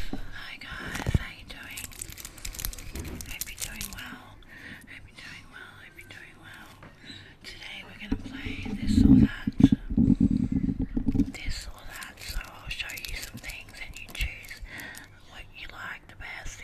Hi guys, how you doing? I hope you're doing well. hope you're doing well. hope you're doing well. Today we're gonna play this or that. This or that. So I'll show you some things and you choose what you like the best,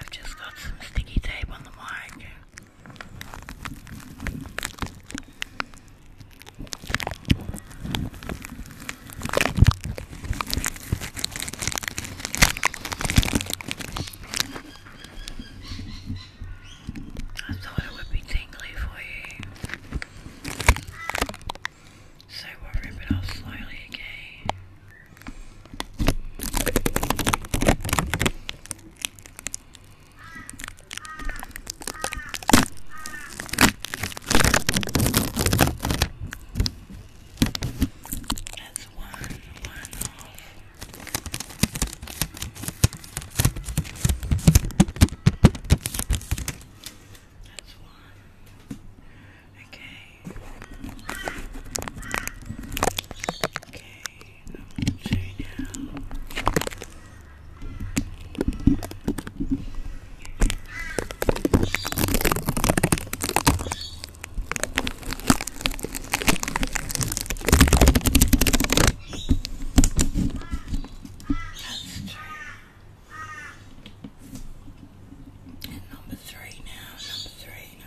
I've just got some sticky tape on the mic. I thought it would be tingly for you. So we'll rip it off slowly again. That's one, one off. That's one. Okay. Okay. That's true. And number three now, number three,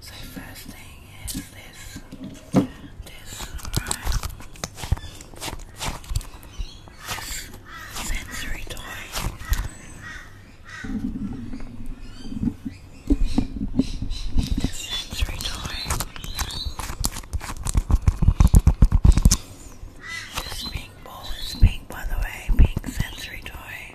So first thing is this, this, right? This sensory toy. This sensory toy. This pink ball is pink, by the way, pink sensory toy.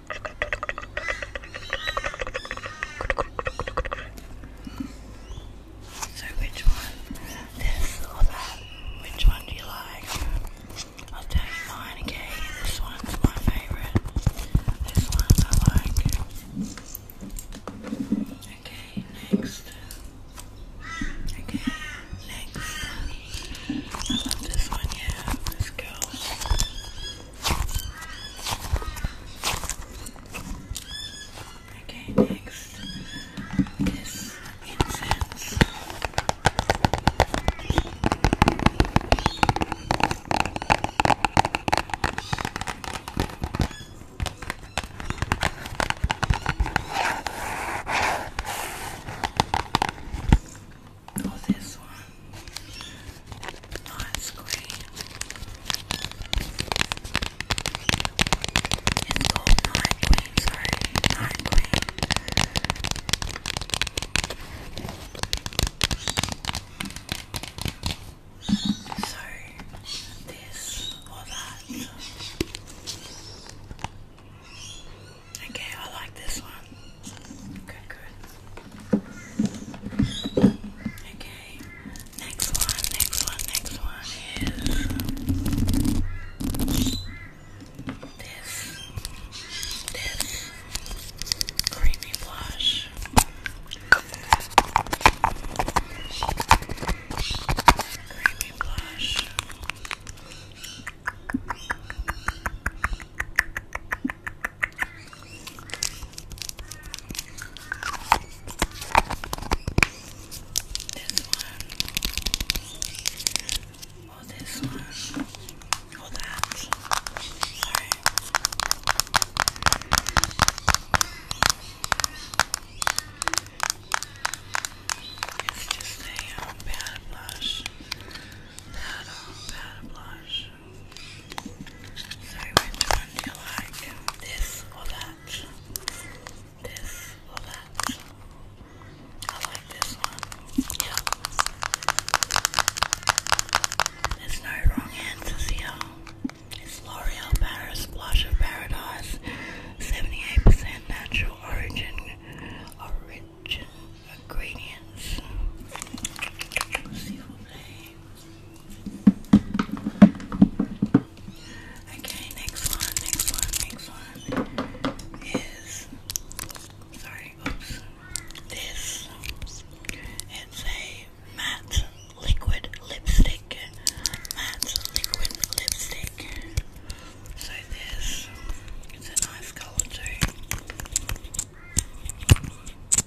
So which one? This or that? Which one do you like? I'll tell you mine, okay? This one's my favourite. This one I like. Okay, next. Okay, next. I love this one, yeah. This girl. Okay, next is incense or oh, this one. Nice green. It's called night green, sorry, this or that. Okay, I like this one. Good, good. Okay. Next one, next one, next one is this, this creamy blush. Creamy blush. This one. Or oh, this one. Or that. Sorry. It's just a um, bad blush. Bad, bad blush. So which one do you like? This or that? This or that? I like this one. Yeah. There's no wrong answers here. It's L'Oreal Paris Blush of Paradise. 78% natural origin. Origin ingredients. S'il Okay, next one, next one, next one is sorry, This it's a matte liquid lipstick. Matte liquid lipstick. So this it's a nice color too.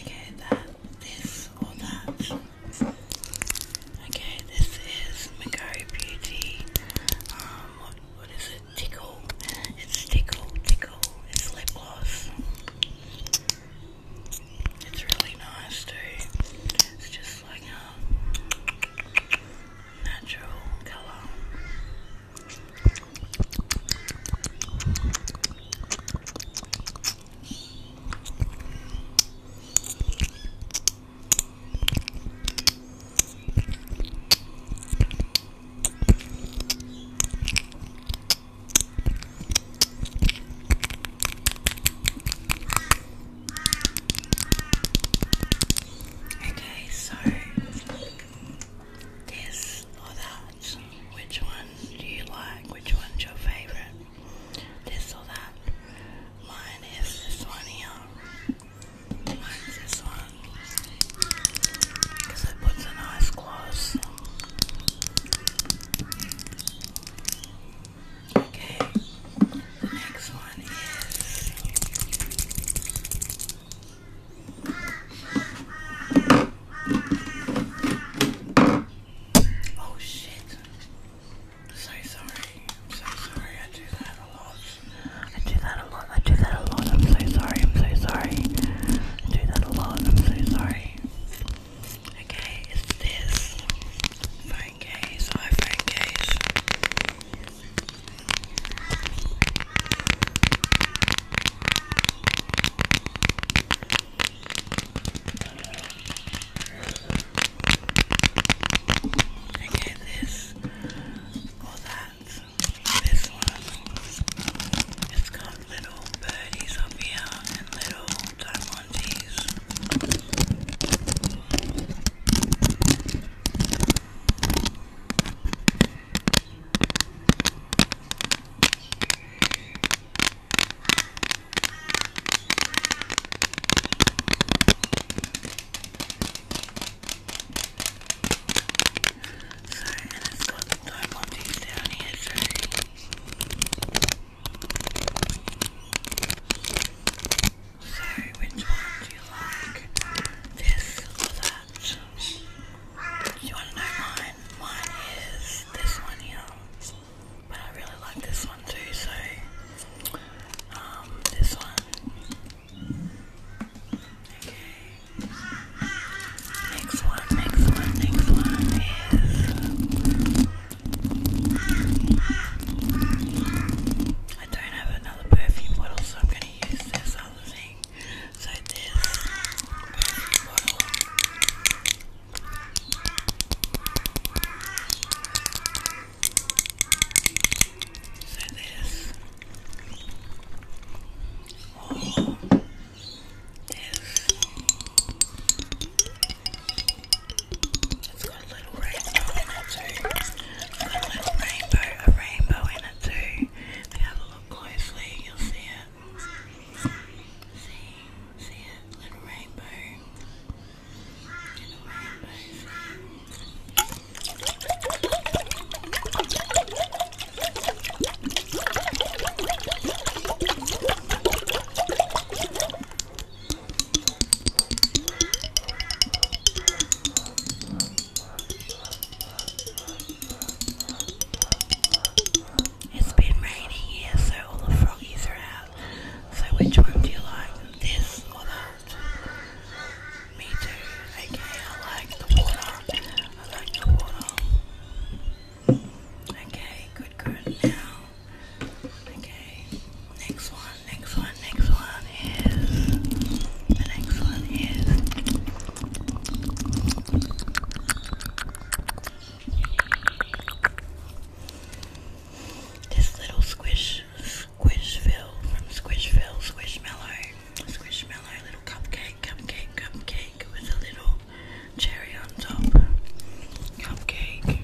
Okay, that, this, or that. Okay, this is Mago Beauty. Um, what, what is it? Tickle. It's Tickle, Tickle. It's lip gloss. It's really nice too. It's just like a natural colour. Okay, so this or that which one do you like? Which one's your favorite? This or that? Mine is this one here. Mine's this one. Because it puts a nice gloss. Okay, the next one is Oh shit. I'm so sorry. I'm so sorry. I do that a lot. I do that a lot. I do that a lot. I'm so sorry. I'm so sorry. I do that a lot. I'm so sorry. Okay, it's this phone case, iPhone case. I get this or that. This one. It's got little birdies up here and little diamondies and it's got the diamonds So which one do you like? This or that? you want to know mine? mine. Mine is this one here. But I really like this one too, so um this one. Okay. Next one, next one, next one is I don't have another perfume bottle, so I'm gonna use this other thing. So this perfume bottle so this, oh, this, it's got a little rainbow in it too. a little rainbow, a rainbow in it too. If you look closely, you'll see it. See, see it, little rainbow. Little rainbow, it's been raining here, so all the froggies are out. So which one do you like? This or that? Me too. Okay, I like the water. I like the water. Okay, good, good. Now, okay, next one, next one, next one is. The next one is. This little squish, squishville from Squishville, Squishmallow, Squishmallow little cupcake, cupcake, cupcake with a little cherry on top. Cupcake.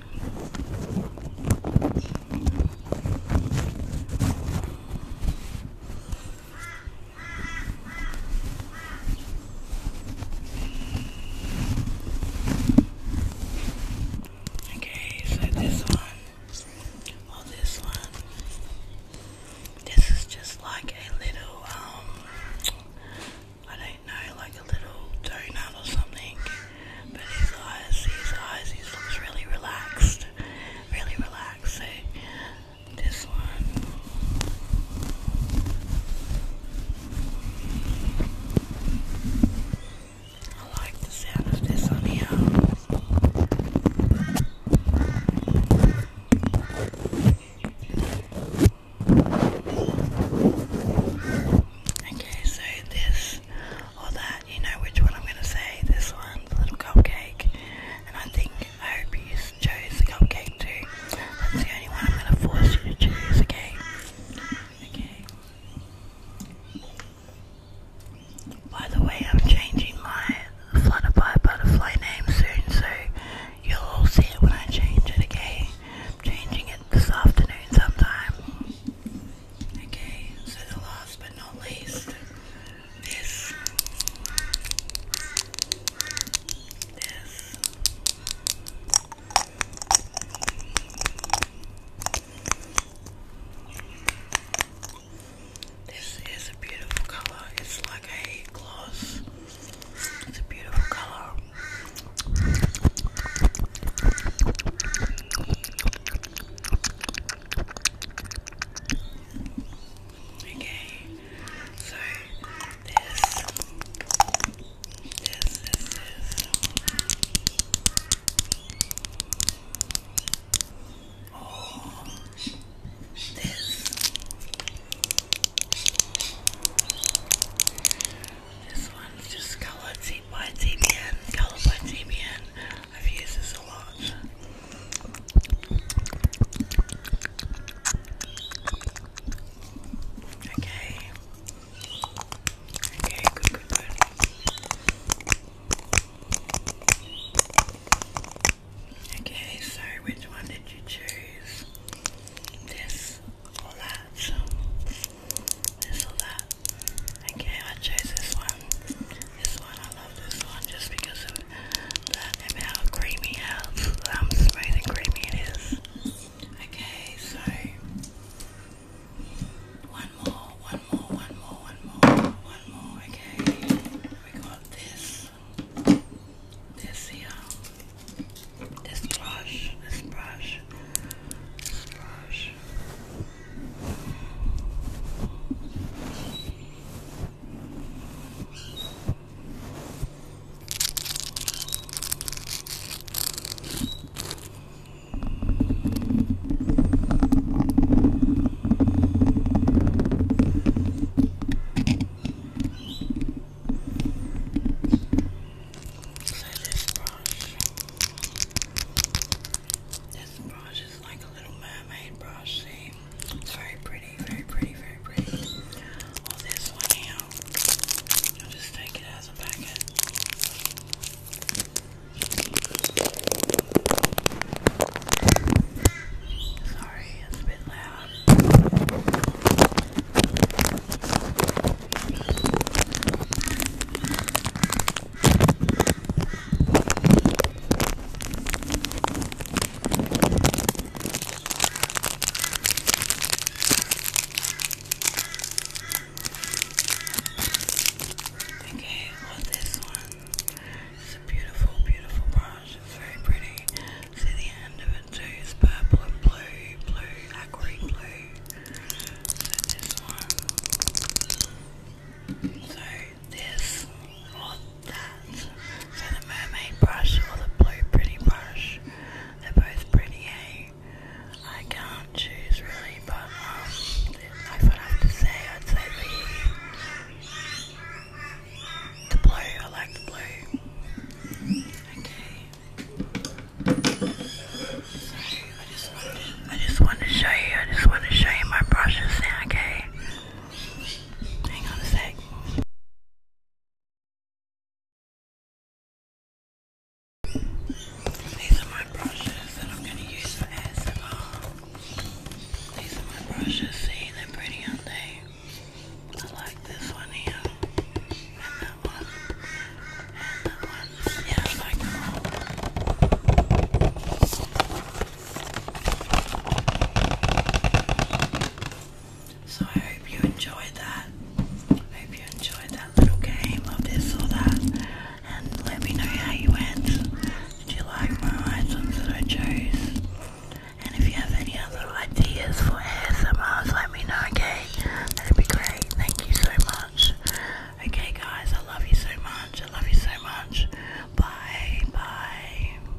Okay, so this one, or this one, this is just like a little, um, I don't know, like a little donut or something. But his eyes, his eyes, he looks really relaxed, really relaxed this one. I like the sound of this on here. Okay, so this or that, you know which one I'm going to say. This one, little cupcake. And I think I hope you choose the cupcake too. That's the only one I'm gonna force you to choose, okay? Okay. By the way, I'm changing my Flutterby butterfly name soon, so you'll all see it when I change it, again. changing it this afternoon sometime. Okay, so the last but not least, This. This is a beautiful color. It's like a gloss. It's a beautiful color. Okay, so this, this, this, Oh, this, this one's just colored by TBN, colored by TBN. I've used this a lot. Okay. Okay, good, good, Okay, so which one did you choose? This or that? This or that? Okay, I chose this one. This one, I love this one just because of that how creamy, how smooth and creamy it is. Okay, so one more, one more, one more, one more, one more. Okay, we got this, this here, this brush, this brush, this brush. So this brush, this brush is like a little mermaid brush, see? It's very pretty, very pretty, very pretty. Well, this one here, I'll just take it as a packet. Sorry, it's a bit loud. Okay, well this one. It's a beautiful, beautiful brush. It's very pretty. See the end of it too. It's purple and blue, blue, aqua blue. So this one. So this, or so the mermaid brush or the blue pretty brush, they're both pretty, eh? I can't choose really, but if um, I'd to say, I'd say the, the blue, I like the blue. Okay. I just wanted, to show you, I just want to show you my brushes now, okay? Hang on a sec. These are my brushes and I'm going to use as well. These are my brushes, see, they're pretty, aren't they? I like this one here, and that one, and that one. Yeah, I like them all. So I hope you enjoyed that. I hope you enjoyed that little game of this or that. And let me know how you went. Did you like my items that I chose? And if you have any other ideas for ASMRs, let me know, okay? That'd be great. Thank you so much. Okay, guys, I love you so much. I love you so much. Bye. Bye.